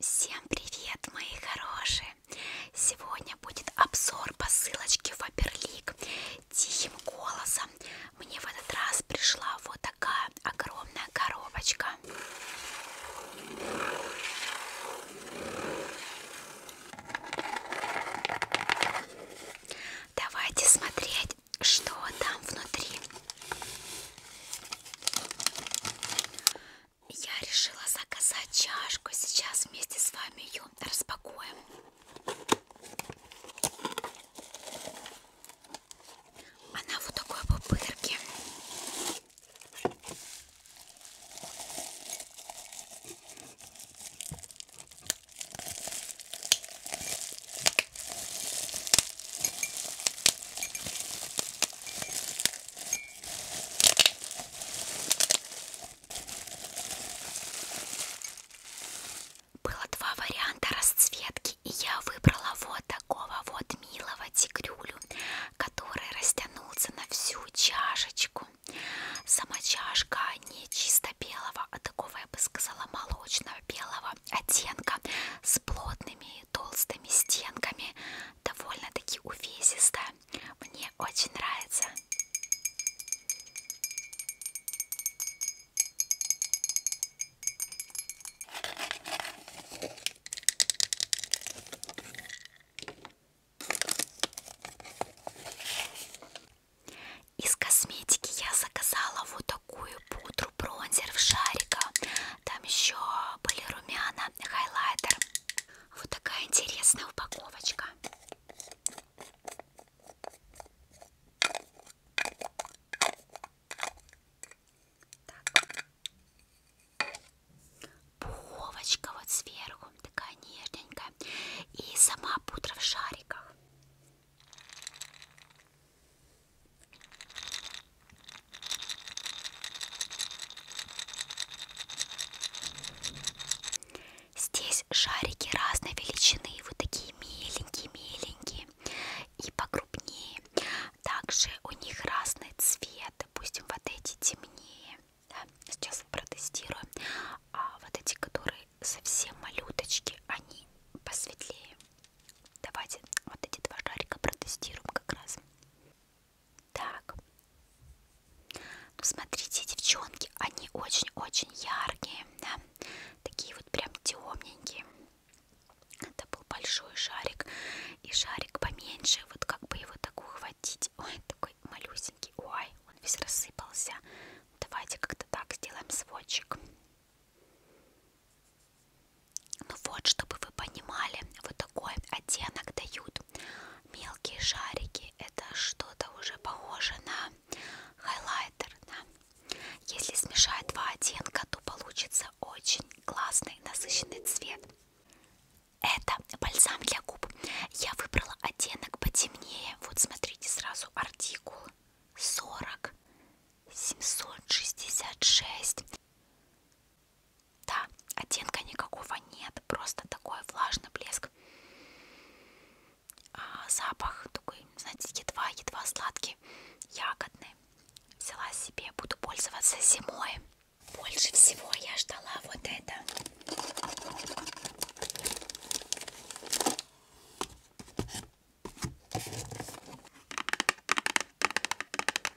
Всем привет, мои хорошие! Сегодня будет обзор посылочки Фаберлик тихим голосом. Мне в этот раз пришла вот такая огромная коробочка. Давайте смотреть, что там внутри. Я решила заказать чашку. Сейчас вместе с вами ее распакуем. Она вот такой пупырки. Было два варианта расцветки, и я выбрала вот такого вот милого тигрюлю, который растянулся на всю чашечку. Сама чашка не чисто белого, а такого, я бы сказала, молочного белого оттенка с плотными толстыми стенками, довольно-таки увесисто. Мне очень нравится. Из косметики я заказала вот такую пудру бронзер в шарика там еще были румяна, хайлайтер. Вот такая интересная упаковочка. Так. Пуховочка вот сверху, такая нежненькая. И сама пудра в шариках. Здесь шарики разной величины, вот такие миленькие-миленькие и покрупнее. Также у них разный цвет, допустим, вот эти темнее. Да? Сейчас протестируем. А вот эти, которые совсем малюточки, они посветлее. Давайте вот эти два шарика протестируем как раз. Так. Ну, смотрите, девчонки, они очень-очень яркие, да? Такие вот прям темненькие. Это был большой шарик. И шарик поменьше. Вот как бы его так ухватить. Ой, такой малюсенький. Ой, он весь рассыпался. Давайте как-то так сделаем сводчик. Ну вот, чтобы вы понимали, вот такой оттенок дают мелкие шарики. Это что-то уже похоже на хайлайтер. Да? Если смешать два оттенка, то получится очень классный насыщенный цвет. Это бальзам для губ. Я выбрала оттенок потемнее. Вот смотрите сразу артикул 40 766 да, оттенка никакого нет, просто такой влажный блеск. А запах такой, знаете, едва-едва сладкий, ягодный. Взяла себе, буду пользоваться зимой. Больше всего я ждала вот это.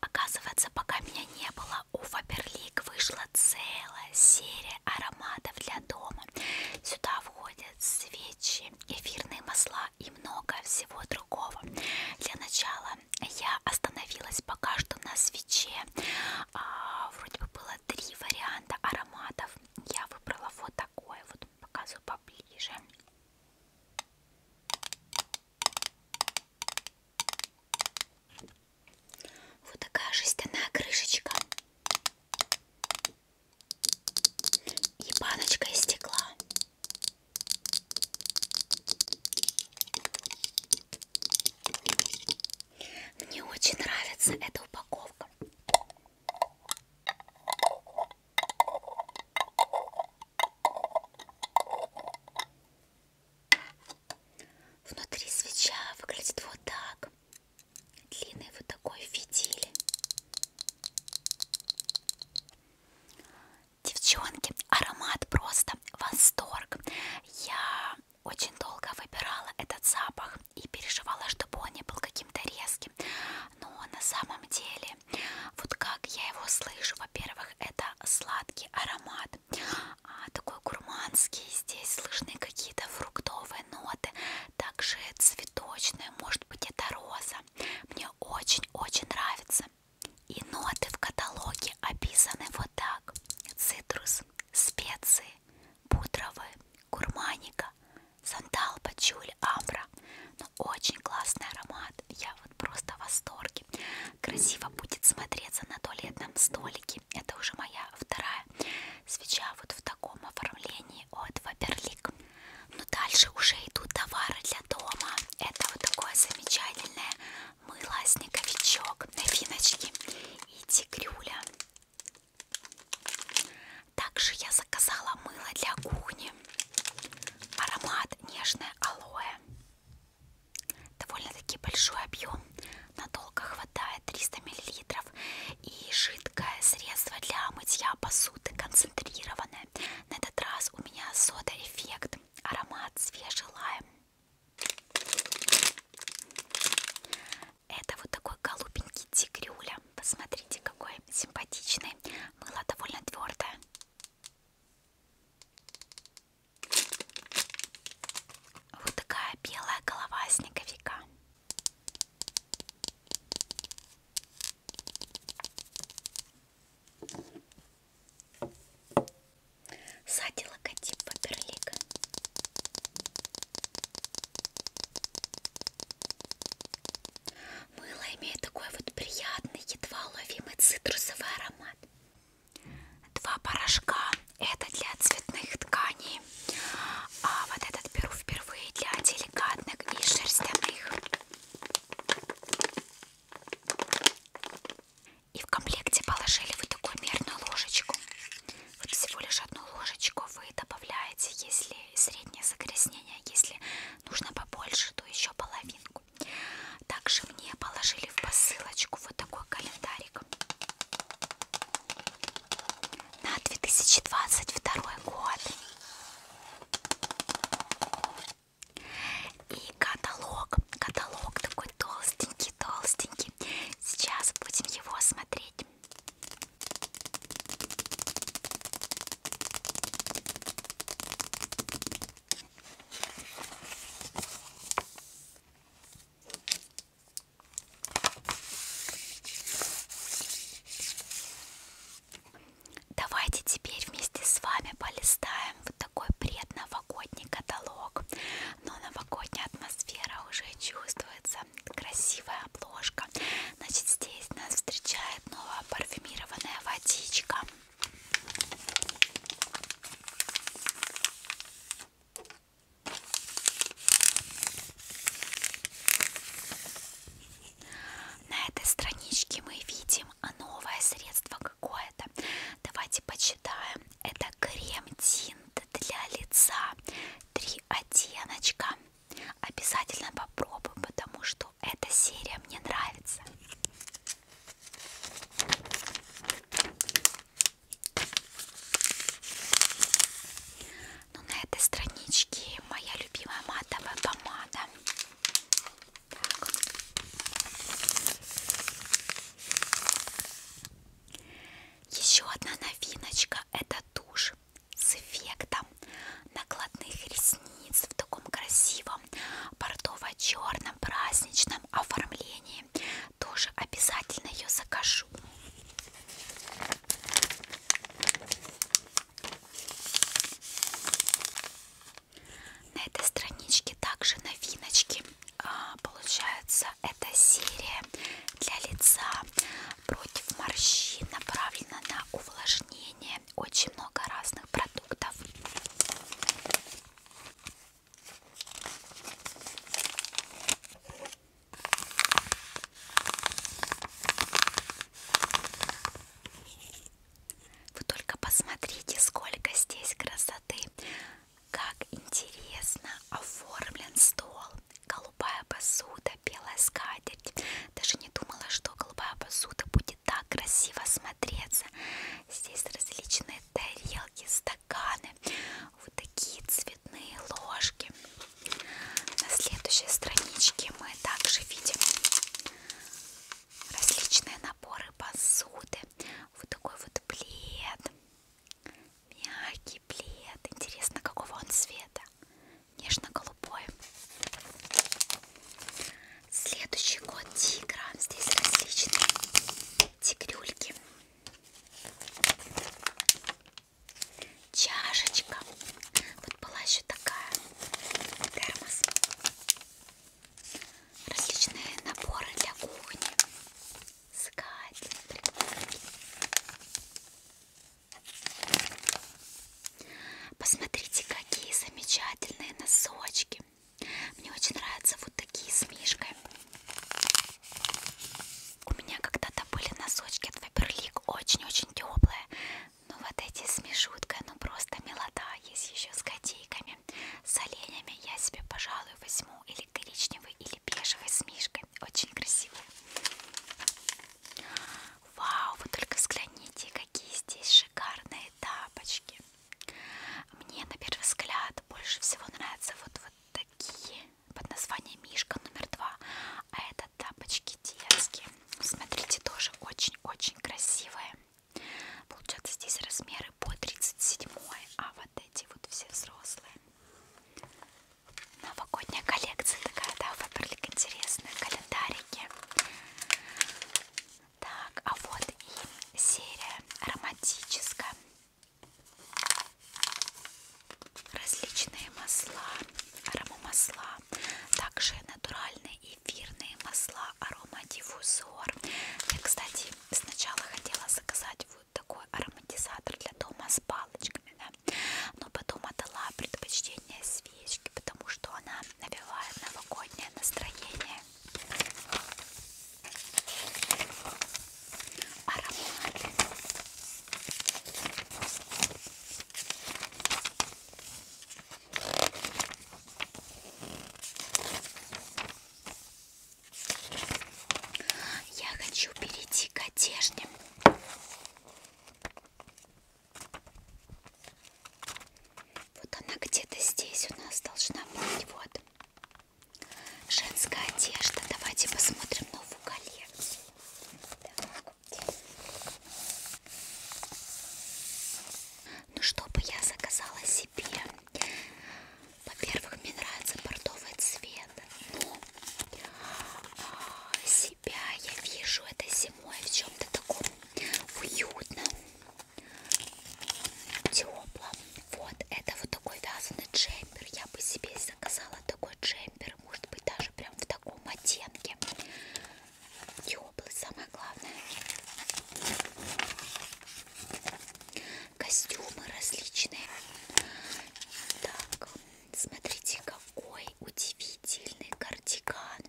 Оказывается, пока меня не было, у Фаберлик вышла целая серия ароматов для дома. Сюда входят свечи, эфирные масла и много всего другого. Для начала я остановилась пока что на свече. А, вроде бы было три три варианта ароматов. Я выбрала вот такой, вот показываю поближе. Вот такая жестяная крышечка. И баночка из стекла. Мне очень нравится эта упаковка. Внутри свеча выглядит вот так. Длинный вот такой фитиль. Девчонки, аромат просто восторг. Я очень долго выбирала этот запах и переживала, чтобы он не был каким-то резким. Но на самом деле, вот как я его слышу, во-первых, это сладкий аромат, а, такой гурманский, здесь слышны какие-то фруктовые ноты, также цветочные, может быть это роза. Мне очень-очень нравится. И ноты в каталоге описаны вот так. Цитрус, специи, пудровый, курманика, сандал, пачуль, амбра. Но ну, очень классный аромат. Я вот просто в восторге. Красиво будет смотреться на туалетном столике. Это уже моя вторая свеча вот в таком оформлении от Ваперлик. Но дальше уже идут товары для дома. Это вот такое замечательное мыло снеговичок, новиночки и тигрюля. Также я заказала мыло для кухни. Аромат нежное алоэ. Довольно-таки большой объем. Надолго хватает 300 мл. И жидкое средство для мытья посуды концентрированное. На этот раз у меня сода эффект. Аромат свежий лайм. Это вот такой голубенький тигрюля. Посмотрите, какой симпатичный. Мыло довольно твердое. Вот такая белая голова снеговика. Сзади логотип Фаберлик. Мыло имеет такой вот приятный, едва уловимый цитрусовый аромат. Два порошка. Это для цветных тканей. А вот этот беру впервые для деликатных и шерстяных. И в комплекте положили вот такую мерную ложечку. Вот всего лишь одну ложечку вы добавляете, если среднее загрязнение, если нужно побольше, то еще половинку. Также мне положили в посылочку вот такой календарик. На 2022 год. И каталог, каталог такой такой толстенький, толстенький. Сейчас будем его смотреть. Давайте теперь вместе с вами полистаем вот такой предновогодний каталог но новогодняя атмосфера уже чувствуется, красивая обложка. Значит, здесь нас встречает новая парфюмированная водичка. На этой страничке мы видим новое средство какое-то. Давайте почитаем. Это крем Тин для лица три оттеночка обязательно попробую потому что эта серия мне нравится ну, на этой страничке моя любимая матовая помада так. Еще одна новиночка это тушь с эффектом накладных ресниц в таком красивом бордово-черном праздничном оформлении. Тоже обязательно ее закажу. На этой страничке также новиночки а, получается, это серия для лица против морщин, направлена на увлажнение. Очень много разных продуктов. Вы только посмотрите, сколько здесь красоты красоты. Как интересно оформлен стол. Голубая посуда, белая скатерть. Даже не думала, что голубая посуда будет так красиво смотреться. Здесь различные тарелки, стаканы, вот такие цветные ложки. На следующей страничке мы также видим различные наборы посуды. Вот такой вот плед, Мягкий плед. Интересно, какого он цвета? Нежно-голубой. Следующий год тигра. Здесь различные тигрюльки. Чашечка. Вот была еще такая. Термос. Различные наборы для кухни искать например. Посмотрите, какие замечательные носочки. Мне очень нравятся вот такие с мишкой. У меня когда-то были носочки от Фаберлик, очень-очень теплые. Но вот эти с мишуткой, ну просто милота. Есть еще с котейками, с оленями. Я себе, пожалуй, возьму и или коричневый, или бежевый с мишкой. Очень красивый. Вау, вы только взгляните, какие здесь шикарные тапочки. Мне на первый взгляд больше всего нравятся вот, вот такие под названием Мишка номер два. А это тапочки детские. Смотрите, тоже очень-очень красивые. Получается здесь размеры по 37, а вот вот эти вот все взрослые. Новогодняя коллекция такая, да, выбрали интересные календарики. Так, а вот и серия ароматическая. Различные масла, аромамасла, также натуральные эфирные масла, аромадиффузор. Я, кстати, сначала хотела заказать вот такой ароматизатор для дома с палочками, да? но потом отдала предпочтение свечке, потому что она навевает новогоднее настроение. Аромат. Я хочу перейти к одежде. Вот она где-то здесь у нас должна быть. Вот. Женская одежда. Давайте посмотрим новую коллекцию. Так. Ну, чтобы я заказала себе во-первых, мне нравится бордовый цвет. Но а, себя я вижу этой зимой в чем-то таком уютном, теплом. Вот, это вот такой вязаный джемпер. Я бы себе заказала такой джемпер. Может быть, даже прям в таком оттенке. Теплый, самое главное костюмы различные. Так, смотрите, какой удивительный кардиган.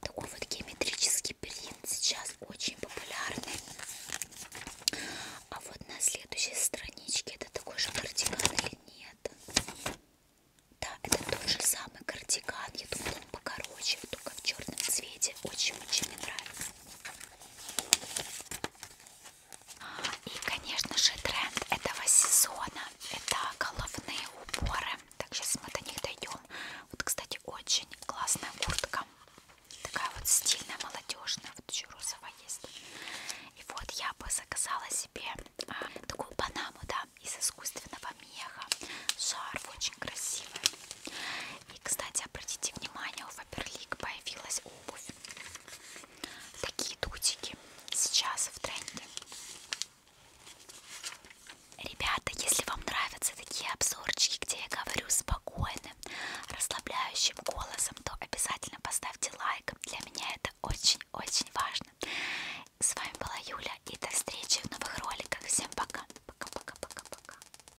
Такой вот геометрический принт сейчас очень популярный. А вот на следующей страничке это такой же кардиган или нет? Да, это тот же самый кардиган. Я думала, он покороче, только в черном цвете. Очень-очень мне нравится. И, конечно же, тренд этого сезона это головные уборы. Так, сейчас мы до них дойдем. Вот, кстати, очень классная куртка. Такая вот стильная, молодежная. Вот еще розовая есть. И вот я бы заказала себе а, такую панаму, да, из искусственного меха. Шарф очень красивый. И и, кстати, обратите внимание, у Фаберлик появилась обувь. Такие дутики сейчас в тренде. Ребята, если вам нравятся такие обзорчики, где я говорю спокойным, расслабляющим голосом, то обязательно поставьте лайк. Для меня это очень-очень важно. С вами была Юля и до встречи в новых роликах. Всем пока. Пока-пока-пока-пока.